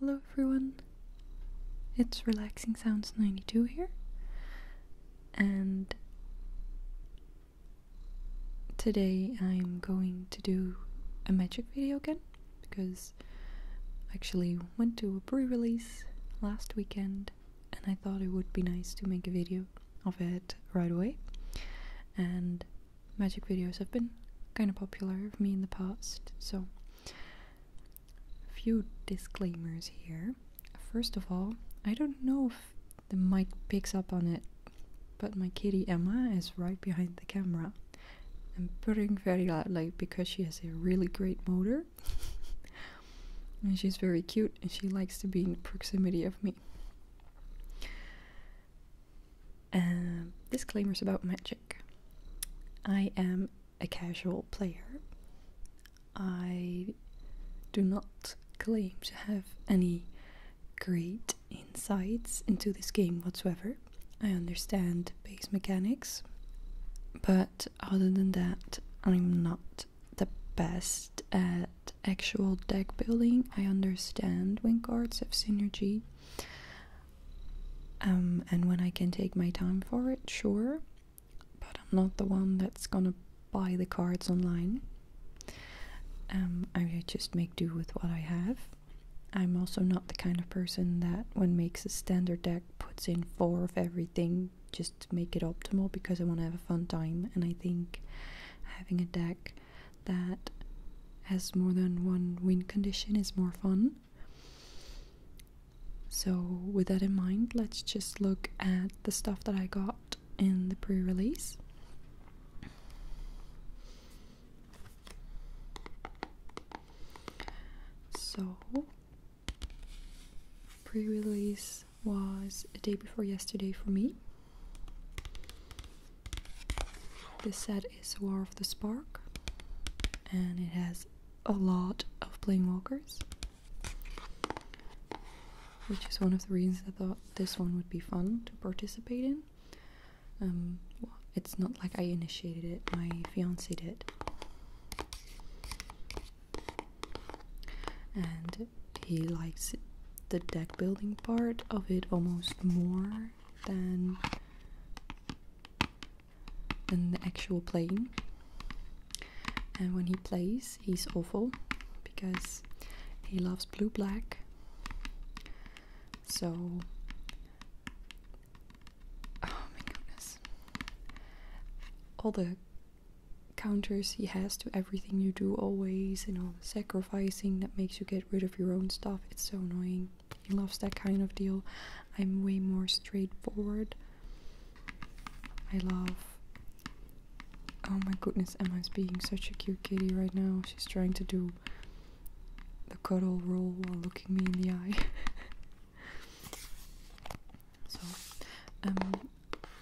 Hello everyone, it's Relaxing Sounds 92 here, and today I'm going to do a magic video again because I actually went to a pre release last weekend and I thought it would be nice to make a video of it right away. And magic videos have been kind of popular with me in the past, so a few disclaimers here. First of all, I don't know if the mic picks up on it, but my kitty Emma is right behind the camera. I'm purring very loudly because she has a really great motor. and she's very cute and she likes to be in proximity of me. Uh, disclaimers about magic. I am a casual player. I do not claim to have any great insights into this game whatsoever. I understand base mechanics, but other than that, I'm not the best at actual deck building. I understand when cards have synergy. Um, and when I can take my time for it, sure. But I'm not the one that's gonna buy the cards online. Um, I just make do with what I have. I'm also not the kind of person that, when makes a standard deck, puts in four of everything just to make it optimal because I want to have a fun time. And I think having a deck that has more than one win condition is more fun. So, with that in mind, let's just look at the stuff that I got in the pre release. So, pre release was a day before yesterday for me. This set is War of the Spark, and it has a lot of Planewalkers, which is one of the reasons I thought this one would be fun to participate in. Um, it's not like I initiated it, my fiance did. And he likes the deck building part of it almost more than than the actual playing. And when he plays, he's awful because he loves blue black. So, oh my goodness, all the counters he has to everything you do always and all the sacrificing that makes you get rid of your own stuff it's so annoying he loves that kind of deal. I'm way more straightforward. I love. Oh my goodness, Emma's being such a cute kitty right now. She's trying to do the cuddle roll while looking me in the eye. so, um,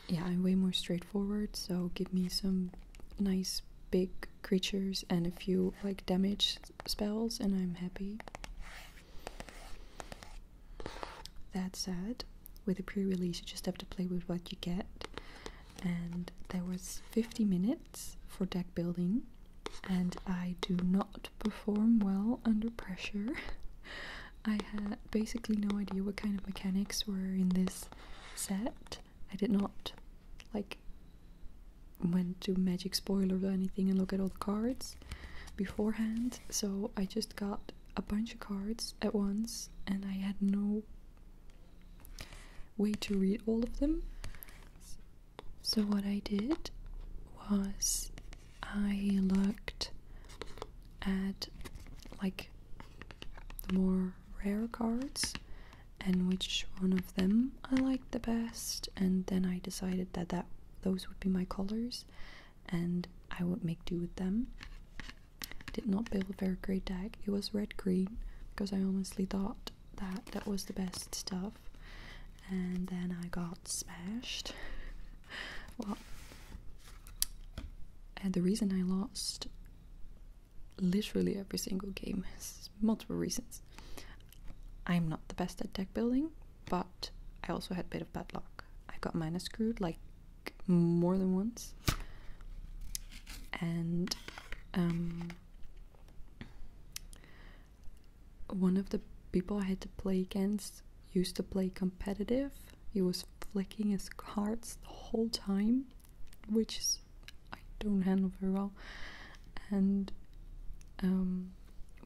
yeah, I'm way more straightforward, so give me some nice big creatures and a few like damage spells, and I'm happy. That said, with a pre-release, you just have to play with what you get, and there was 50 minutes for deck building, and I do not perform well under pressure. I had basically no idea what kind of mechanics were in this set. I did not like went to Magic Spoiler or anything and look at all the cards beforehand. So I just got a bunch of cards at once and I had no way to read all of them. So what I did was I looked at like the more rare cards and which one of them I liked the best and then I decided that that those would be my colors and I would make do with them. Did not build a very great deck. It was red green because I honestly thought that that was the best stuff and then I got smashed. well, and the reason I lost literally every single game is multiple reasons. I'm not the best at deck building, but I also had a bit of bad luck. I got mana screwed like more than once, and um, one of the people I had to play against used to play competitive. He was flicking his cards the whole time, which is, I don't handle very well, and um,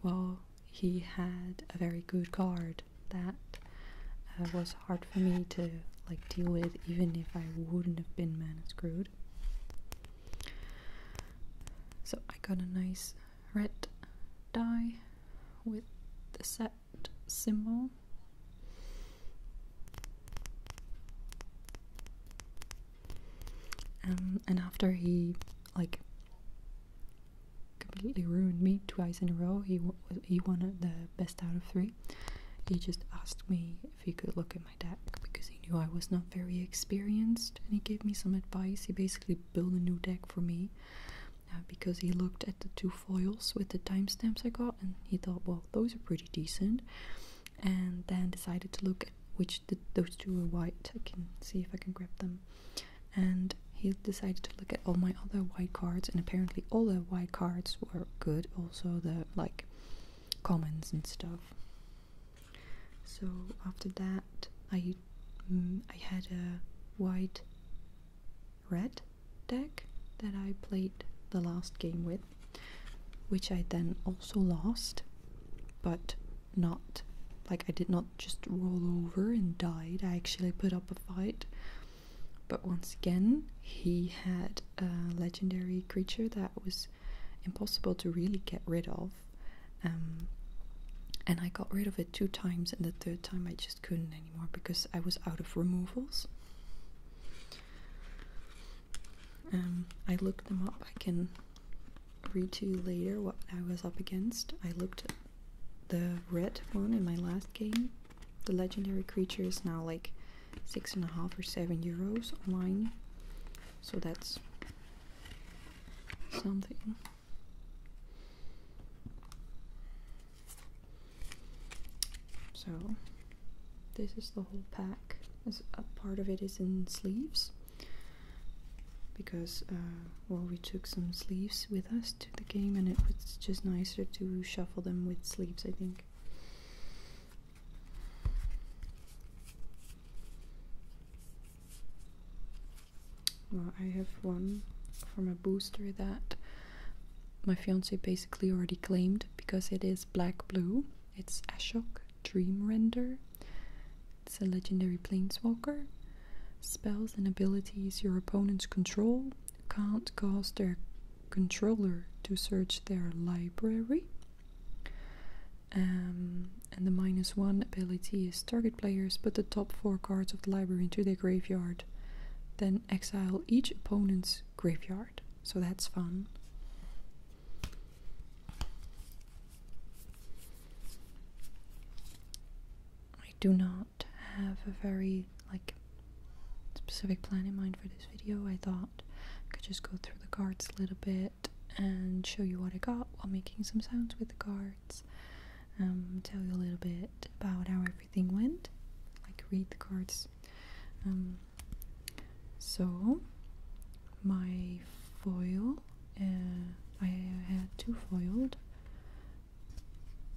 well, he had a very good guard that uh, was hard for me to like deal with, even if I wouldn't have been mana screwed. So I got a nice red die with the set symbol. Um, and after he like completely ruined me twice in a row. He he won the best out of three. He just asked me if he could look at my deck because he knew I was not very experienced, and he gave me some advice. He basically built a new deck for me uh, because he looked at the two foils with the time stamps I got, and he thought, well, those are pretty decent. And then decided to look which those two were white. I can see if I can grab them. And he decided to look at all my other white cards, and apparently all the white cards were good. Also the like commons and stuff. So after that, I mm, I had a white red deck that I played the last game with, which I then also lost. But not like I did not just roll over and died. I actually put up a fight. But once again, he had a legendary creature that was impossible to really get rid of. Um, and I got rid of it two times, and the third time I just couldn't anymore because I was out of removals. Um, I looked them up. I can read to you later what I was up against. I looked at the red one in my last game. The legendary creature is now like six and a half or seven euros online. So that's something. So this is the whole pack. As a part of it is in sleeves because uh, well we took some sleeves with us to the game and it was just nicer to shuffle them with sleeves I think well I have one from a booster that my fiance basically already claimed because it is black blue it's Ashok Dream Render. It's a legendary planeswalker. Spells and abilities your opponents control can't cause their controller to search their library. Um, and the minus one ability is target players put the top four cards of the library into their graveyard, then exile each opponent's graveyard. So that's fun. I do not have a very like specific plan in mind for this video. I thought I could just go through the cards a little bit and show you what I got while making some sounds with the cards. Um, tell you a little bit about how everything went, like read the cards. Um, so my foil uh, I had two foiled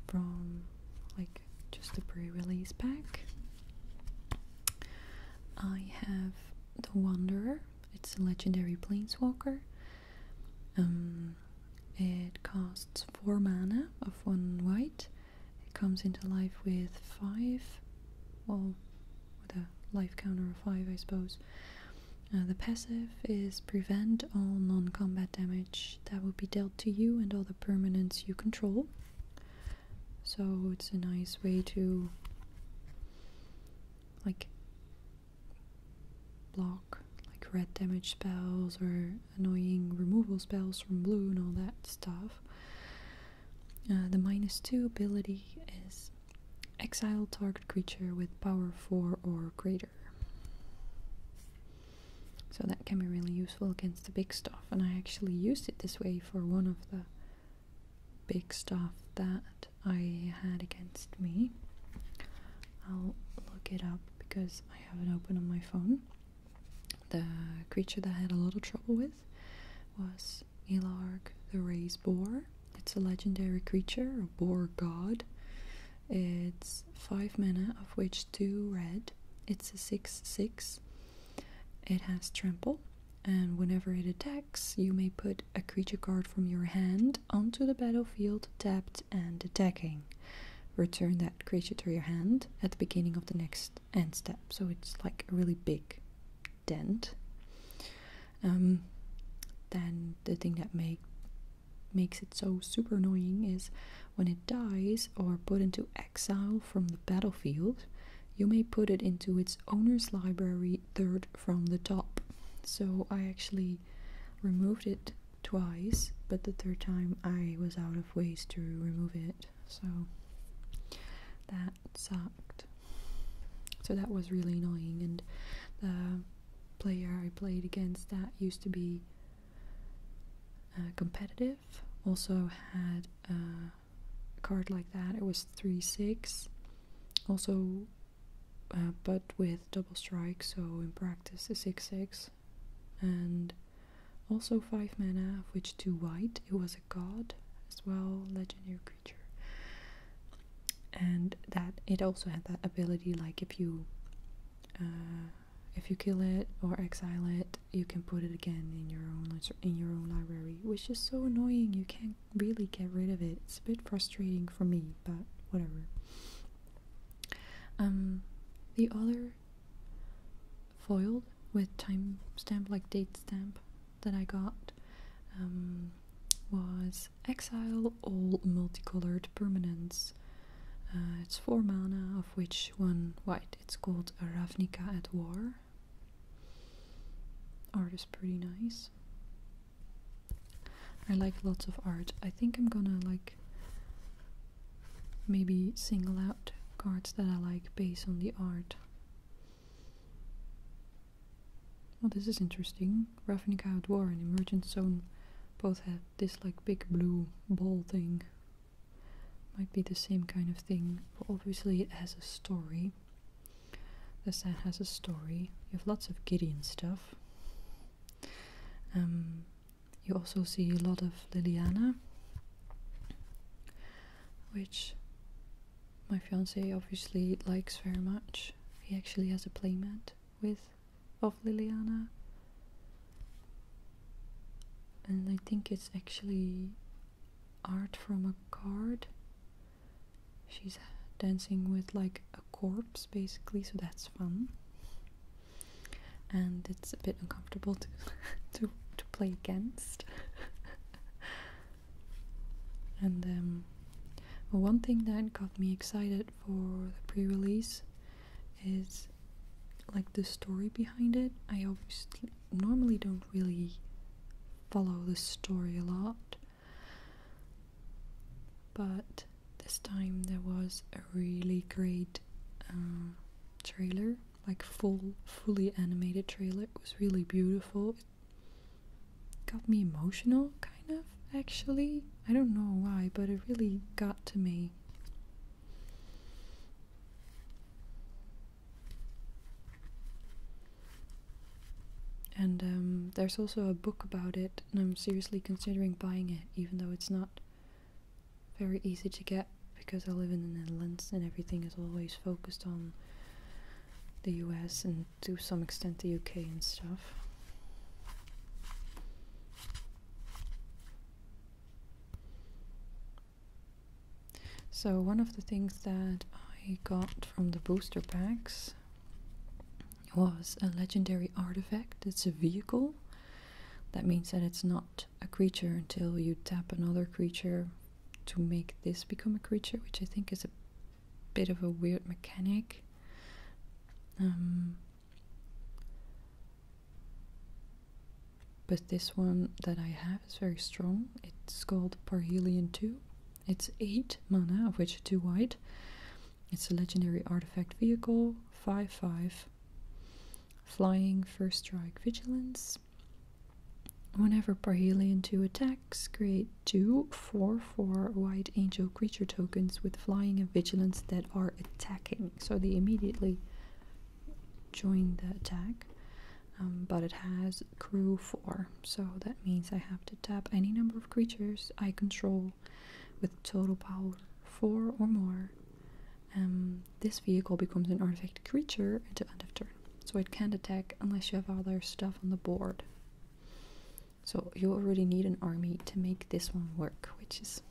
from like just the pre-release pack. I have the Wanderer. It's a legendary planeswalker. Um, it costs four mana of one white. It comes into life with five, well, with a life counter of 5, I suppose. Uh, the passive is prevent all non combat damage that will be dealt to you and all the permanents you control. So it's a nice way to, like, block like red damage spells or annoying removal spells from blue and all that stuff. Uh, the minus two ability is Exile target creature with power 4 or greater. So that can be really useful against the big stuff, and I actually used it this way for one of the big stuff that I had against me. I'll look it up because I have it open on my phone. The creature that I had a lot of trouble with was is Ilarg the Raised Boar. It's a legendary creature, a boar god. It's 5 mana, of which 2 red. It's a 6 6. It has trample, and whenever it attacks, you may put a creature card from your hand onto the battlefield, tapped and attacking. Return that creature to your hand at the beginning of the next end step. So it's like a really big dent. Um, then the thing that make makes it so super annoying is when it dies or put into exile from the battlefield, you may put it into its owner's library third from the top. So I actually removed it twice, but the third time I was out of ways to remove it. So that sucked. So that was really annoying. And the player I played against that used to be uh, competitive also had uh, a card like that. It was 3 6. Also, uh, but with double strike, so in practice, a 6 6. And also 5 mana, of which 2 white. It was a god as well, legendary creature and that it also had that ability like if you uh, if you kill it or exile it you can put it again in your own in your own library which is so annoying you can't really get rid of it it's a bit frustrating for me but whatever um the other foiled with timestamp like date stamp that I got um, was exile all multicolored permanence. Uh, it's four mana, of which one white. It's called a Ravnica at War. Art is pretty nice. I like lots of art. I think I'm gonna like maybe single out cards that I like based on the art. Well, this is interesting. Ravnica Outdoor and Emergent Zone both have this like big blue ball thing. Might be the same kind of thing. But obviously it has a story. The set has a story. You have lots of Gideon stuff. Um, you also see a lot of Liliana, which my fiance obviously likes very much. He actually has a playmat with of Liliana. And I think it's actually art from a card. She's dancing with like a corpse basically, so that's fun. And it's a bit uncomfortable to to, to play against. And um, one thing that got me excited for the pre release is like the story behind it. I obviously normally don't really follow the story a lot, but this time there was a really great uh, trailer, like full, fully animated trailer. It was really beautiful got me emotional, kind of, actually. I don't know why, but it really got to me. And um, there's also a book about it, and I'm seriously considering buying it, even though it's not very easy to get because I live in the Netherlands and everything is always focused on the US and to some extent the UK and stuff. So one of the things that I got from the booster packs was a legendary artifact. It's a vehicle. That means that it's not a creature until you tap another creature to make this become a creature, which I think is a bit of a weird mechanic. Um, but this one that I have is very strong. It's called Parhelion 2. It's 8 mana, of which 2 white. It's a legendary artifact vehicle, 5 5. Flying, first strike, vigilance. Whenever Parhelion 2 attacks, create Two four four White Angel creature tokens with flying and vigilance that are attacking. So they immediately join the attack. Um, but it has crew 4, so that means I have to tap any number of creatures I control with total power 4 or more. Um, this vehicle becomes an artifact creature at the end of turn, so it can't attack unless you have other stuff on the board. So you already need an army to make this one work, which is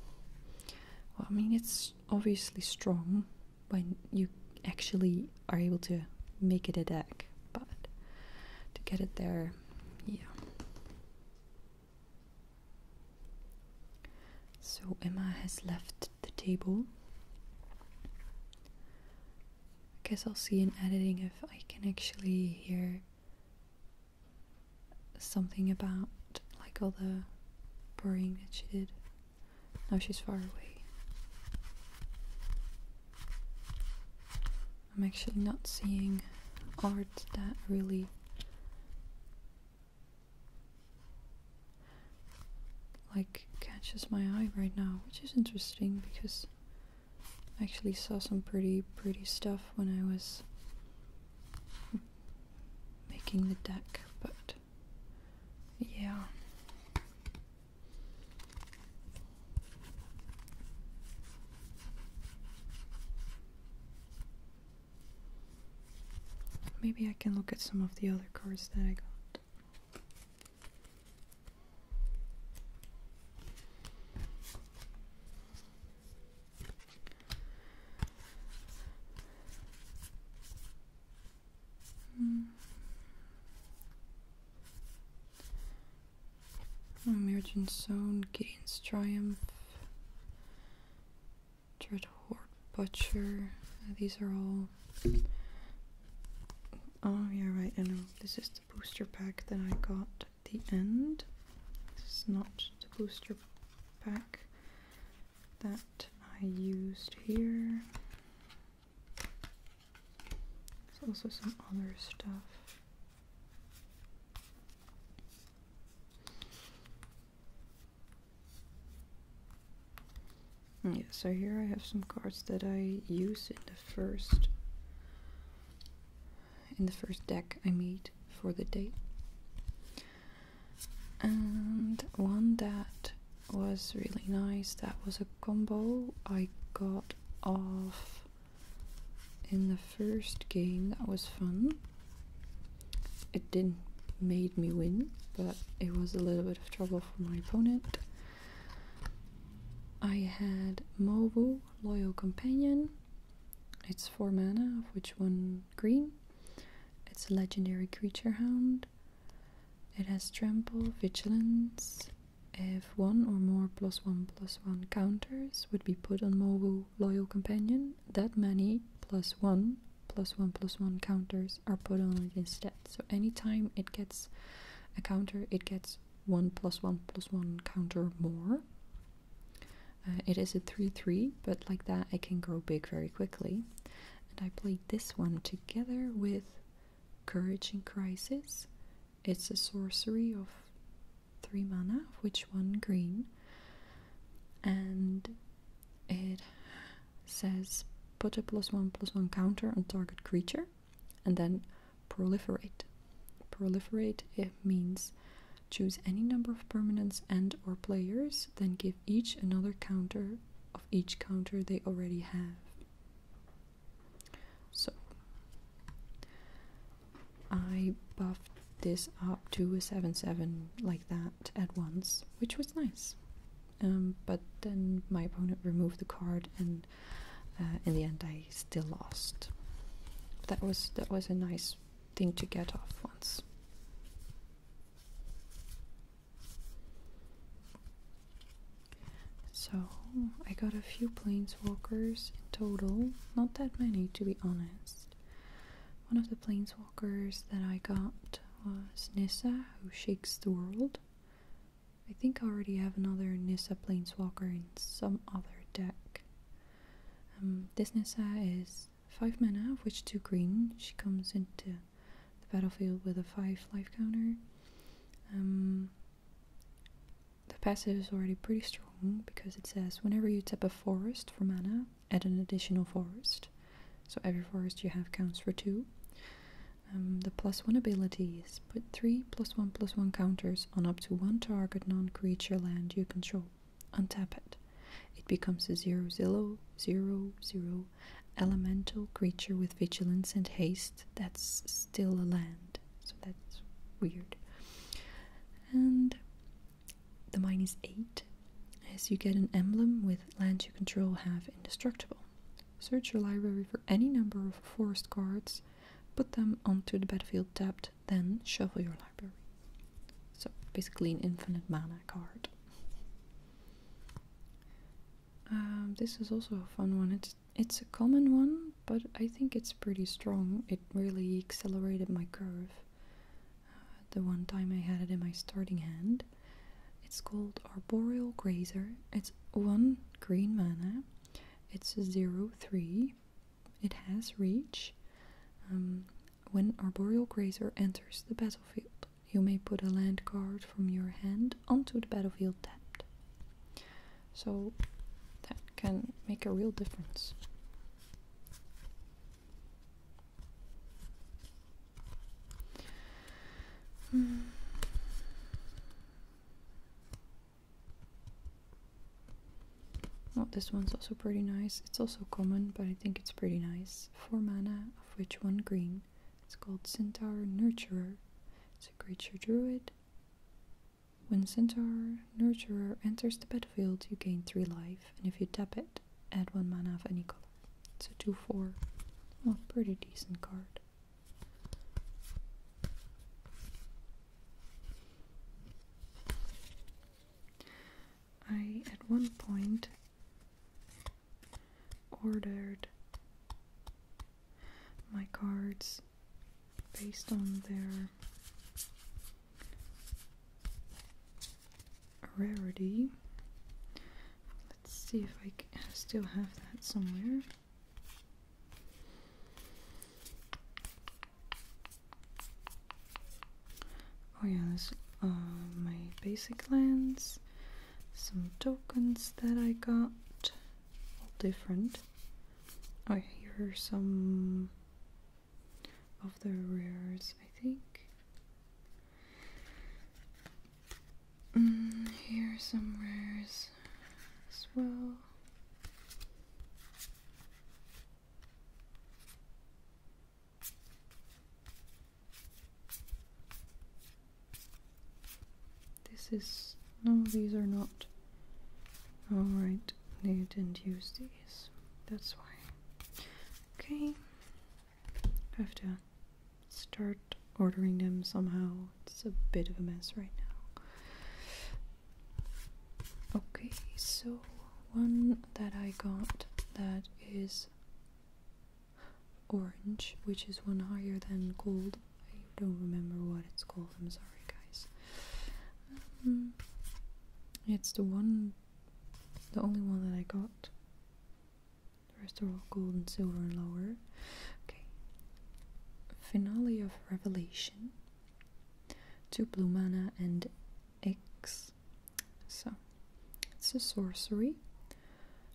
well, I mean it's obviously strong when you actually are able to make it a deck, but to get it there, yeah. So Emma has left the table. I guess I'll see in editing if I can actually hear something about like all the burring that she did. Now she's far away. I'm actually not seeing art that really like catches my eye right now, which is interesting because I actually saw some pretty, pretty stuff when I was making the deck, but yeah. Maybe I can look at some of the other cards that I got. Mm. Zone gains Triumph, Dread Butcher. These are all. Oh, yeah, right, I know. This is booster pack that I got at the end. This is not the booster pack that I used here. There's also some other stuff. Mm, yeah, so here I have some cards that I use in the first in the first deck I made for the day. And one that was really nice, that was a combo I got off in the first game, that was fun. It didn't made me win, but it was a little bit of trouble for my opponent. I had Mobu Loyal Companion. It's 4 mana, of which 1 green. It's a legendary creature hound. It has trample, vigilance. If one or more plus one plus one counters would be put on mobile Loyal Companion, that many plus one plus one plus one counters are put on it instead. So anytime it gets a counter, it gets one plus one plus one counter more. Uh, it is a 3-3, but like that it can grow big very quickly. And I played this one together with Courage in Crisis. It's a sorcery of 3 mana, of which 1 green. And it says put a plus 1 plus 1 counter on target creature and then proliferate. Proliferate it means choose any number of permanents and or players, then give each another counter of each counter they already have. So I buffed this up to a 7-7 like that at once, which was nice. Um, but then my opponent removed the card and uh, in the end I still lost. That was that was a nice thing to get off once. So I got a few planeswalkers in total, not that many to be honest. One of the planeswalkers that I got was Nissa, who shakes the world. I think I already have another Nissa Plainswalker in some other deck. Um, this Nissa is 5 mana, of which 2 green. She comes into the battlefield with a 5 life counter. Um, the passive is already pretty strong because it says whenever you tap a forest for mana, add an additional forest. So every forest you have counts for 2. Um, the plus 1 ability is put 3 plus 1 plus 1 counters on up to one target non creature land you control. Untap it. It becomes a 0 0 0 elemental creature with vigilance and haste that's still a land. So that's weird. And the minus 8 As you get an emblem with lands you control have indestructible. Search your library for any number of forest cards put them onto the battlefield tapped, then shuffle your library. So basically an infinite mana card. Um, this is also a fun one. It's it's a common one, but I think it's pretty strong. It really accelerated my curve. Uh, the one time I had it in my starting hand. It's called Arboreal Grazer. It's one green mana it's 03. It has reach. Um, when Arboreal Grazer enters the battlefield, you may put a land card from your hand onto the battlefield tapped. So that can make a real difference. Hmm. Oh, this one's also pretty nice. It's also common, but I think it's pretty nice. for mana, of which one green. It's called Centaur Nurturer. It's a creature druid. When Centaur Nurturer enters the battlefield, you gain three life, and if you tap it, add one mana of any color. It's a 2 4. Well, pretty decent card. I at one point ordered my cards based on their rarity. Let's see if I still have that somewhere. Oh yeah, this uh, my basic lands, some tokens that I got, all different. Oh yeah, here are some of the rares, I think. Mm, here are some rares as well. This is no, these are not. All right, they didn't use these. That's why. Okay, I have to start ordering them somehow. It's a bit of a mess right now. Okay, so one that I got that is orange, which is one higher than gold. I don't remember what it's called, I'm sorry, guys. Um, it's the one, the only one that I got. The rest are all gold and silver and lower. Okay. Finale of Revelation two blue mana and X. So it's a sorcery.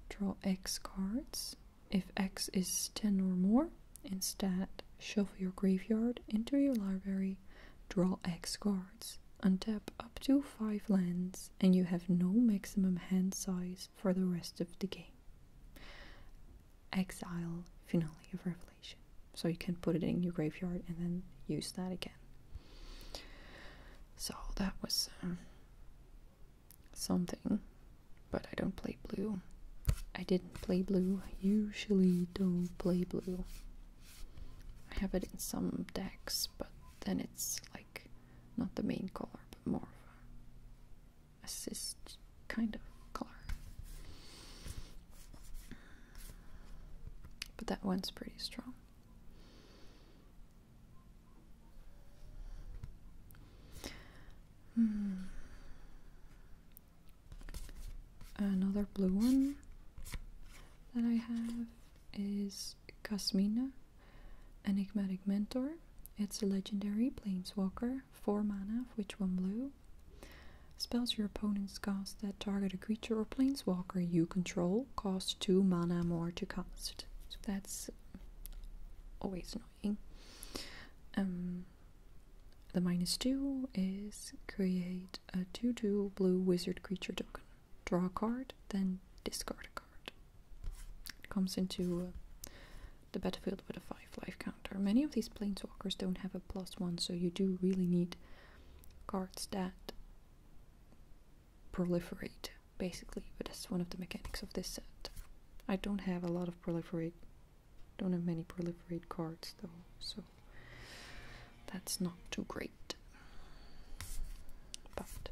Draw X cards. If X is 10 or more, instead shuffle your graveyard into your library, draw X cards. Untap up to 5 lands, and you have no maximum hand size for the rest of the game exile finale of Revelation. So you can put it in your graveyard and then use that again. So that was um, something, but I don't play blue. I didn't play blue. usually don't play blue. I have it in some decks, but then it's like not the main color, but more of assist kind of color. But that one's pretty strong. Hmm. Another blue one that I have is Casmina, Enigmatic Mentor. It's a legendary planeswalker, 4 mana, which one blue. Spells your opponent's cast that target a creature or planeswalker you control cost 2 mana more to cast. that's always annoying. Um, the minus 2 is create a 2 2 blue wizard creature token. Draw a card, then discard a card. It comes into uh, the battlefield with a 5 life counter. Many of these planeswalkers don't have a plus 1, so you do really need cards that proliferate, basically. But that's one of the mechanics of this set. I don't have a lot of proliferate, don't have many proliferate cards though, so that's not too great. But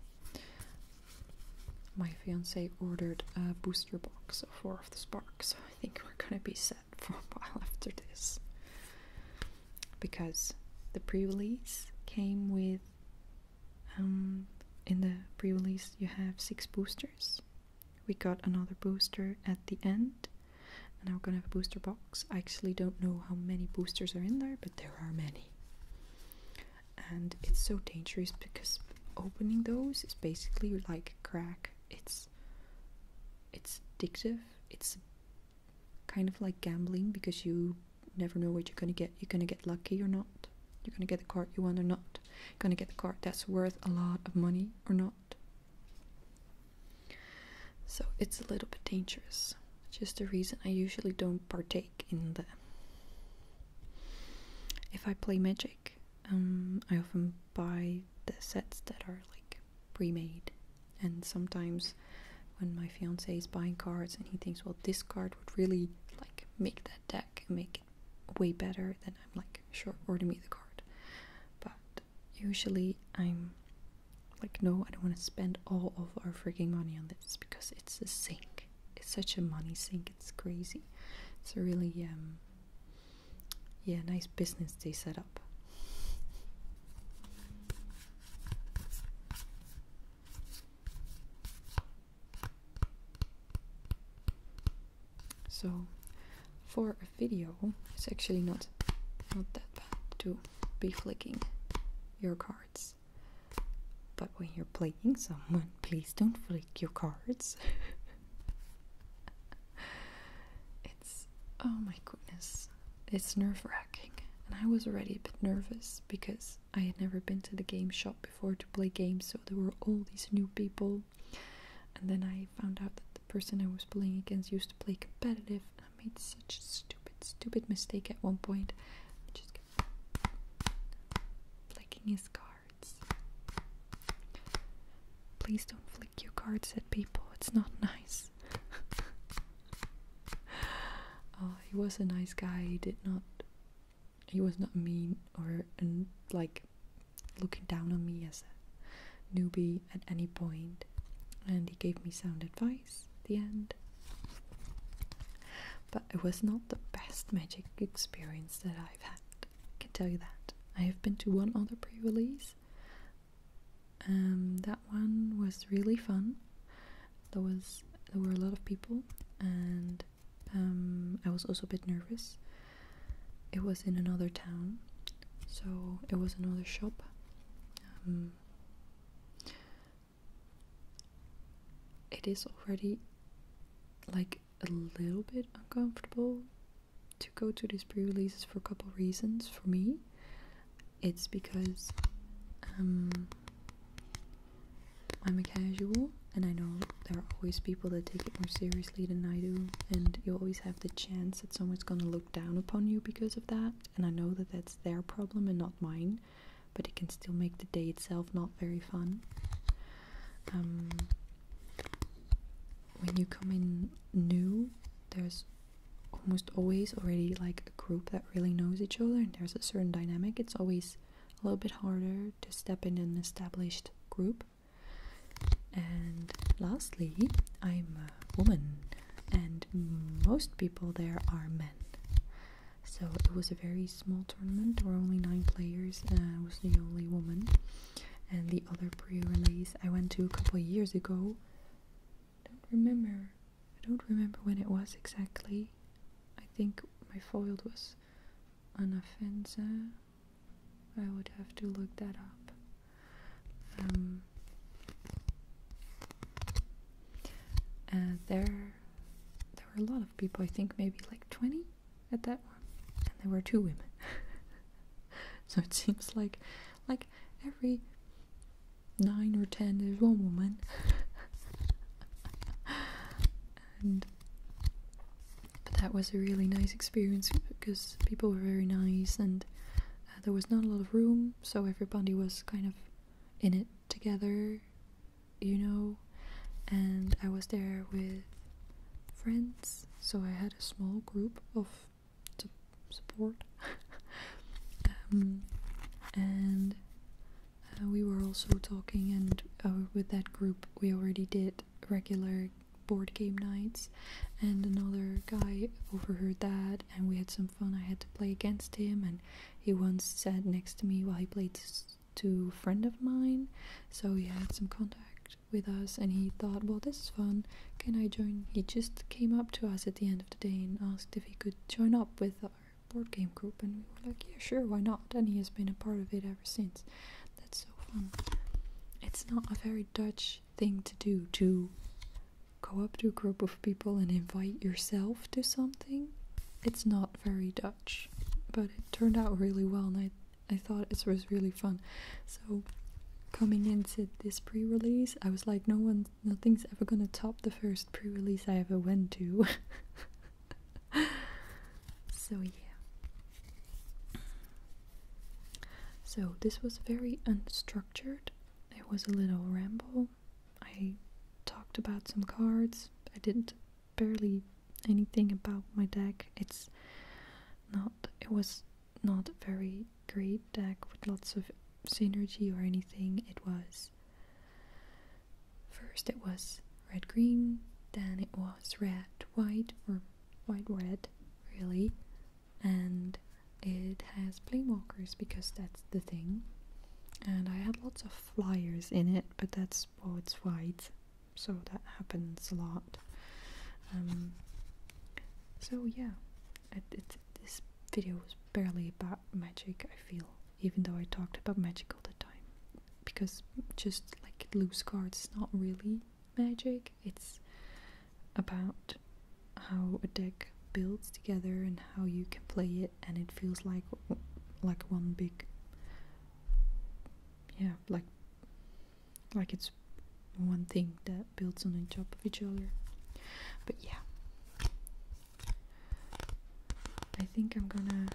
my fiance ordered a booster box four of the spark, so I think we're gonna be set for a while after this. Because the pre-release came with um, in the pre-release you have six boosters. We got another booster at the end, and now we're gonna have a booster box. I actually don't know how many boosters are in there, but there are many. And it's so dangerous because opening those is basically like crack it's it's addictive it's kind of like gambling because you never know what you're gonna get you're gonna get lucky or not you're gonna get the card you want or not you're gonna get the card that's worth a lot of money or not so it's a little bit dangerous just the reason i usually don't partake in the if i play magic um, i often buy the sets that are like pre-made and sometimes when my fiance is buying cards and he thinks well this card would really like make that deck and make it way better then i'm like sure order me the card but usually i'm like no i don't want to spend all of our freaking money on this because it's a sink it's such a money sink it's crazy it's really um yeah, nice business they set up. So, for a video, it's actually not not that bad to be flicking your cards. But when you're playing someone, please don't flick your cards. it's oh my goodness, it's nerve wracking. And I was already a bit nervous because I had never been to the game shop before to play games, so there were all these new people. And then I found out that the person I was playing against used to play competitive, and I made such a stupid, stupid mistake at one point. just kept flicking his card. Please don't flick your cards at people, it's not nice. Oh, he was a nice guy, he did not. He was not mean or like looking down on me as a newbie at any point, and he gave me sound advice the end. But it was not the best magic experience that I I've had. can tell you that. I have been to one other pre release. and um, that one was really fun. There was there were a lot of people, and um, I was also a bit nervous. It was in another town, so it was another shop. Um, it is already like a little bit uncomfortable to go to these pre-releases for a couple reasons for me it's because um, i'm a casual and i know there are always people that take it more seriously than i do and you always have the chance that someone's going to look down upon you because of that and i know that that's their problem and not mine but it can still make the day itself not very fun um, when you come in new, there's almost always already like a group that really knows each other and there's a certain dynamic. It's always a little bit harder to step in an established group. And lastly, I'm a woman and most people there are men. So it was a very small tournament. There were only nine players, and I was the only woman and the other pre-release I went to a couple years ago. I don't remember. I don't remember when it was exactly. I think my foiled was on offense. I would have to look that up. Um, uh, there, there were a lot of people. I think maybe like twenty at that one, and there were two women. so it seems like, like every nine or ten, there's one woman. and but that was a really nice experience because people were very nice and uh, there was not a lot of room, so everybody was kind of in it together, you know. And I was there with friends, so I had a small group of support. Um, and uh, we were also talking, and uh, with that group, we already did regular board game nights. And another guy overheard that, and we had some fun. I had to play against him, and he once sat next to me while he played to a friend of mine, so we had some contact with us and he thought, well, this is fun, can I join? He just came up to us at the end of the day and asked if he could join up with our board game group and we were like, yeah, sure, why not? And he has been a part of it ever since. That's so fun. It's not a very Dutch thing to do to go up to a group of people and invite yourself to something. It's not very Dutch, but it turned out really well and I I thought it was really fun. So coming into this pre-release, I was like, no one, nothing's ever gonna top the first pre-release I ever went to. so yeah. So this was very unstructured. It was a little ramble. I talked about some cards. I didn't barely anything about my deck. It's not. It was not very great deck with lots of synergy or anything. It was first it was red green, then it was red white or white red really, and it has playwalkers because that's the thing. And I had lots of flyers in it, but that's what's oh, white so that happens a lot. Um, so yeah, this video was barely about magic, I feel, even though I talked about magic all the time. Because just like loose cards not really magic, it's about how a deck builds together and how you can play it and it feels like like one big yeah like like it's one thing that builds on the top of each other but yeah i think i'm gonna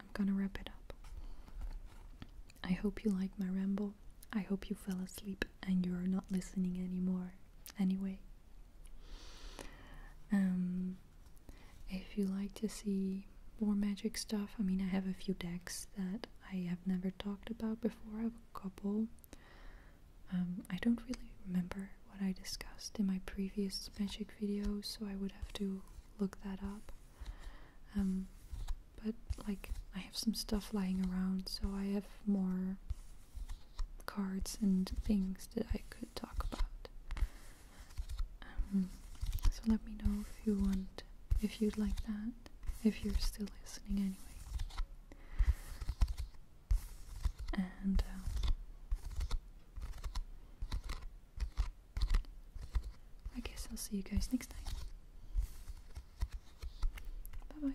i'm gonna wrap it up i hope you like my ramble i hope you fell asleep and you're not listening anymore anyway um, if you like to see more magic stuff, I mean, I have a few decks that I have never talked about before. I have a couple. Um, I don't really remember what I discussed in my previous magic videos, so I would have to look that up. Um, but like, I have some stuff lying around, so I have more cards and things that I could talk about. Um, so let me know if you want, if you'd like that, if you're still listening anyway. And uh, I guess I'll see you guys next time. Bye bye.